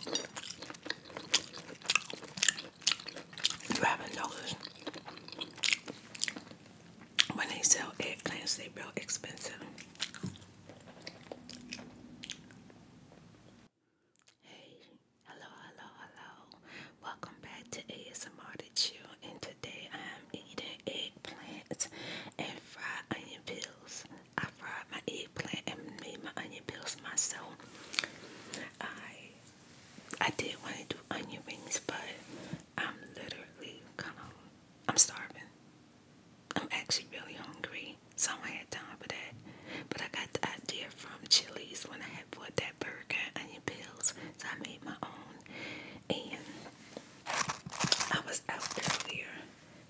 You haven't noticed when they sell eggplants, they real expensive. Hey, hello, hello, hello. Welcome back to ASMR to Chill, and today I am eating eggplants and fried onion peels. I fried my eggplant and made my onion peels myself. I I did want to do onion rings, but I'm literally kind of I'm starving. I'm actually really hungry, so I had time for that. But I got the idea from Chili's when I had bought that burger and onion peels, so I made my own. And I was out earlier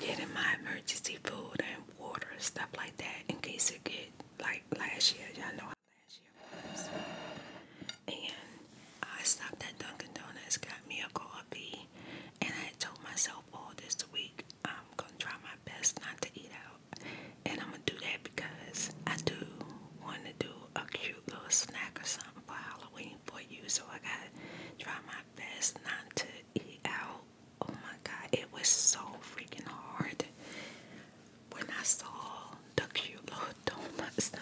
getting my emergency food and water stuff like that in case it get like last year. Y'all know how last year was. And I stopped at Dunkin' Donuts, got me a coffee, and I told myself all oh, this week I'm gonna try my best not to eat out, and I'm gonna do that because I do want to do a cute little snack or something for Halloween for you. So I gotta try my best not to eat Oh my god, it was so freaking hard. When I saw the cute little donuts,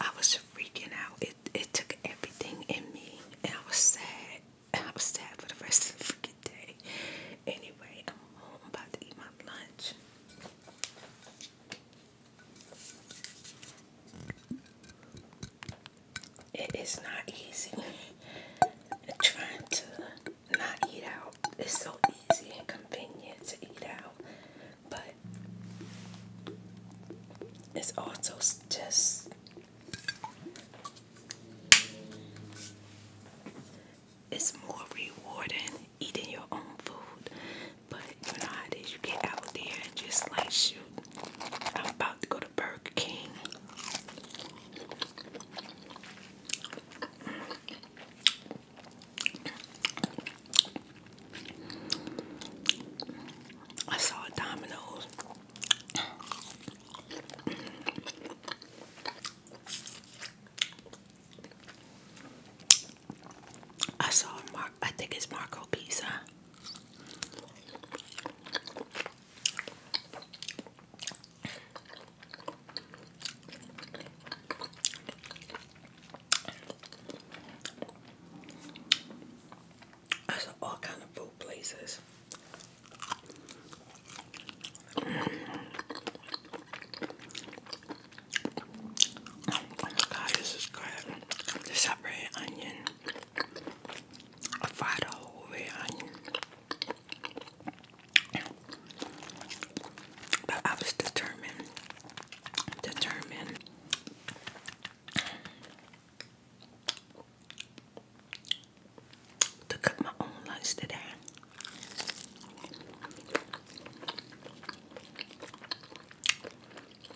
I was freaking out. It it took everything in me, and I was sad. I was sad for the rest of the freaking day. Anyway, I'm home. I'm about to eat my lunch it is not easy. Trying to not eat out is so easy and convenient to eat out, but it's also just it's more rewarding eating your own food. But you know how it is, you get out there and just like shoot, I'm about to go I saw a Domino's. I saw Mark. I think it's Marco Pizza. I saw all kind of food places. Oh my god, this is good. The separate onion. I fried a whole red But I was determined, determined to cut my own lunch today.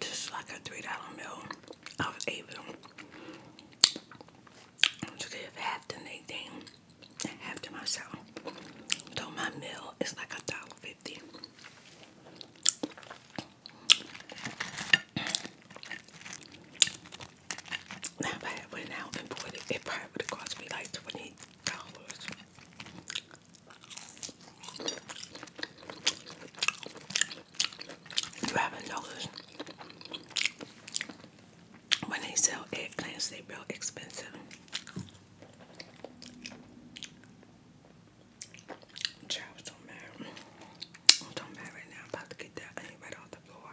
Just like a $3 meal, I was able to give half to Nadine half to myself. So my meal is like a dollar fifty. Now if I went out and bought it, it probably would have cost me like twenty dollars. You have when they sell eggplants, they real expensive. don't matter. I'm talking right now. I'm about to get that onion right off the floor.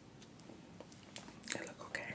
They look okay.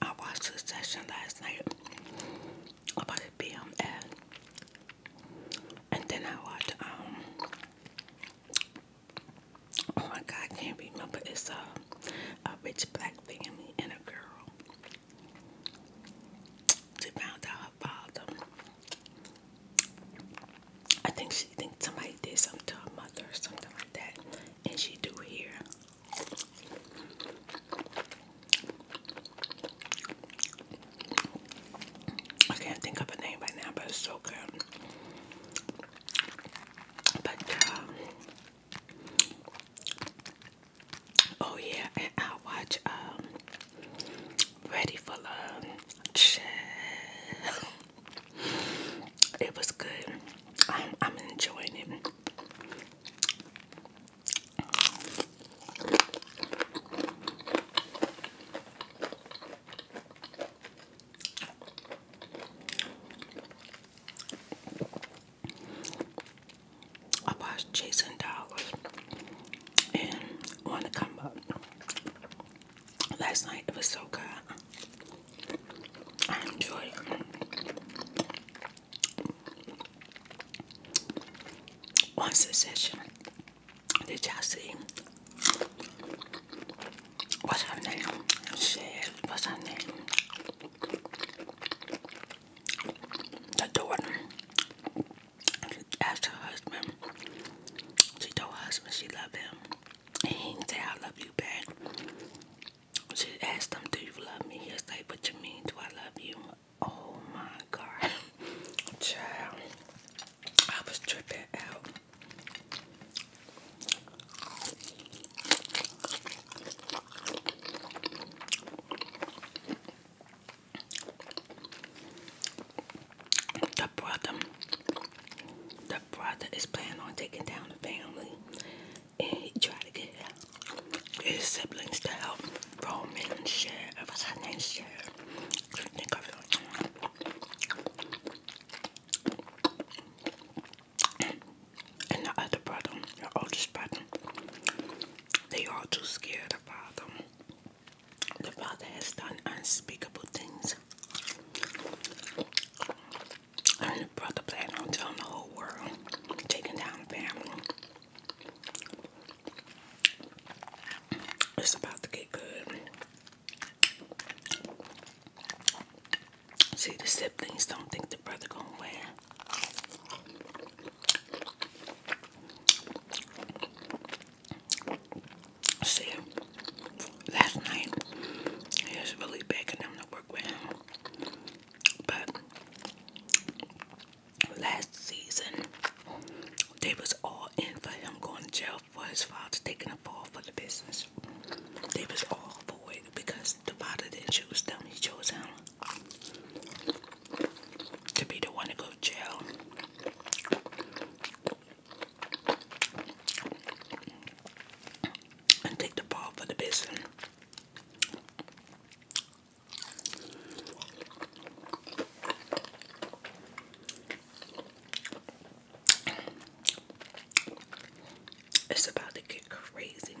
I watched a session last night about the and then I watched um. Oh my God, I can't remember. It's a a rich black family and a girl. She found out father. I think she thinks somebody did something to her mother or something like that, and she do here. I can't think of a name right now, but it's so good. But uh, oh yeah, and I watch um, ready for lunch. It was good. I'm, I'm enjoying it. I was Jason dollars and want Last night it was so good. I enjoyed it. One suggestion. Did you see? What's her name? Shit, what's her name? The daughter. She asked her husband. She told her husband she loved him. And he didn't say, I love you back. She asked him, Do you love me? He was like, you mean? Do I love you? Oh my God. Child. I was tripping out. The brother, the brother is planning on taking down the family, and he tried to get his siblings to help Roman and Cher. Uh, what's her name? Cher. Think of it. And the other brother, the oldest brother, they all too scared about them. The Father has done unspeakable things. And the brother planned on telling the whole world, taking down family. It's about to get good. See, the siblings don't think the brother gonna win. See, last night he was really begging them to work with him, but last season they was all in for him going to jail for his father taking a fall for the business. They was all for it because the father didn't choose them; he chose him to be the one to go jail. And take the ball for the business. It's about to get crazy.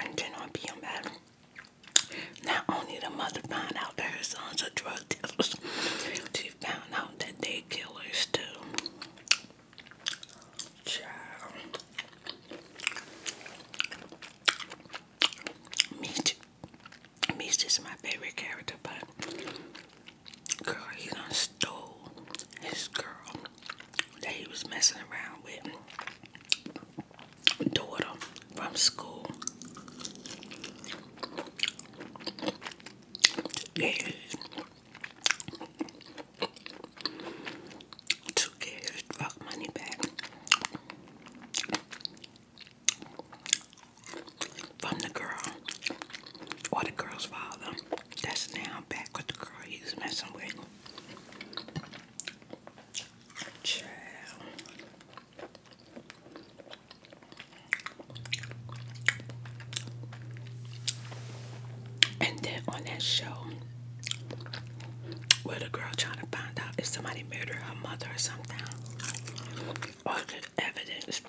And then on being not only the mother found out there her sons are drug dealers, she found out that they killers too. Child. Meech. Meech is my favorite character, but Girl, he done stole his girl that he was messing around with daughter from school. Yeah. To get his drug money back from the girl or the girl's father. That's now back with the girl he was messing with. Child. And then on that show, where the girl trying to find out if somebody murdered her mother or something, all the evidence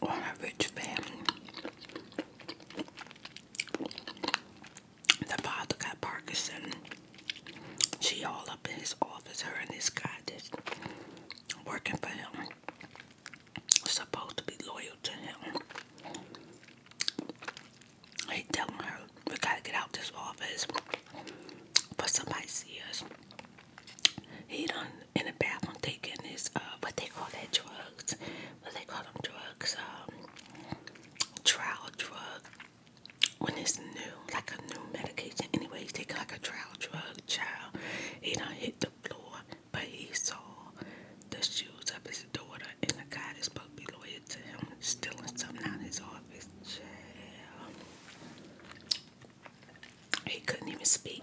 or a rich family. The father got Parkinson. She all up in his office, her and this guy that's working for him. Supposed to be loyal to him. He telling her, we gotta get out this office. but somebody see us he done in the bathroom taking his uh what they call that drugs what they call them drugs um, trial drug when it's new like a new medication anyway he take like a trial drug child he done hit the floor but he saw the shoes of his daughter and the guy is supposed to be loyal to him stealing something out of his office child he couldn't even speak.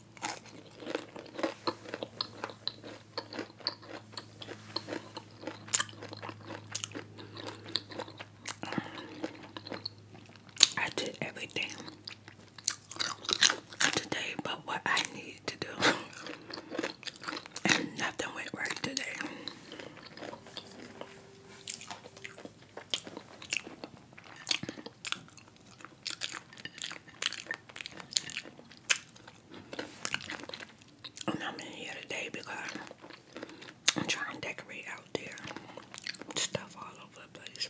I did everything today but what I need to do and nothing went right today. I'm not in here today because I'm trying to decorate out there. Stuff all over the place.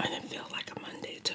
And it feels like a Monday too.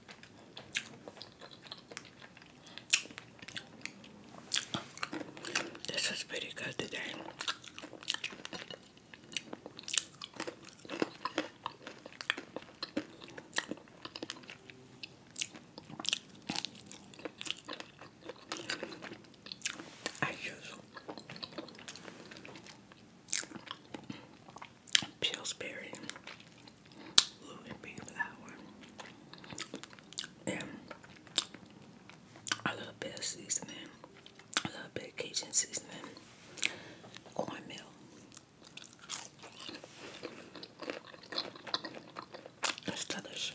This was pretty good today. I use Pillsbury, Louis B. Flower, and I love bell seasoning. I love bit seasoning, cornmeal. It's delicious.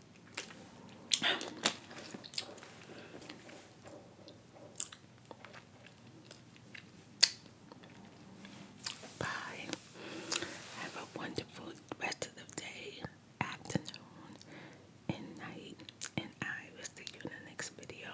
Bye. Have a wonderful rest of the day, afternoon, and night, and I will see you in the next video.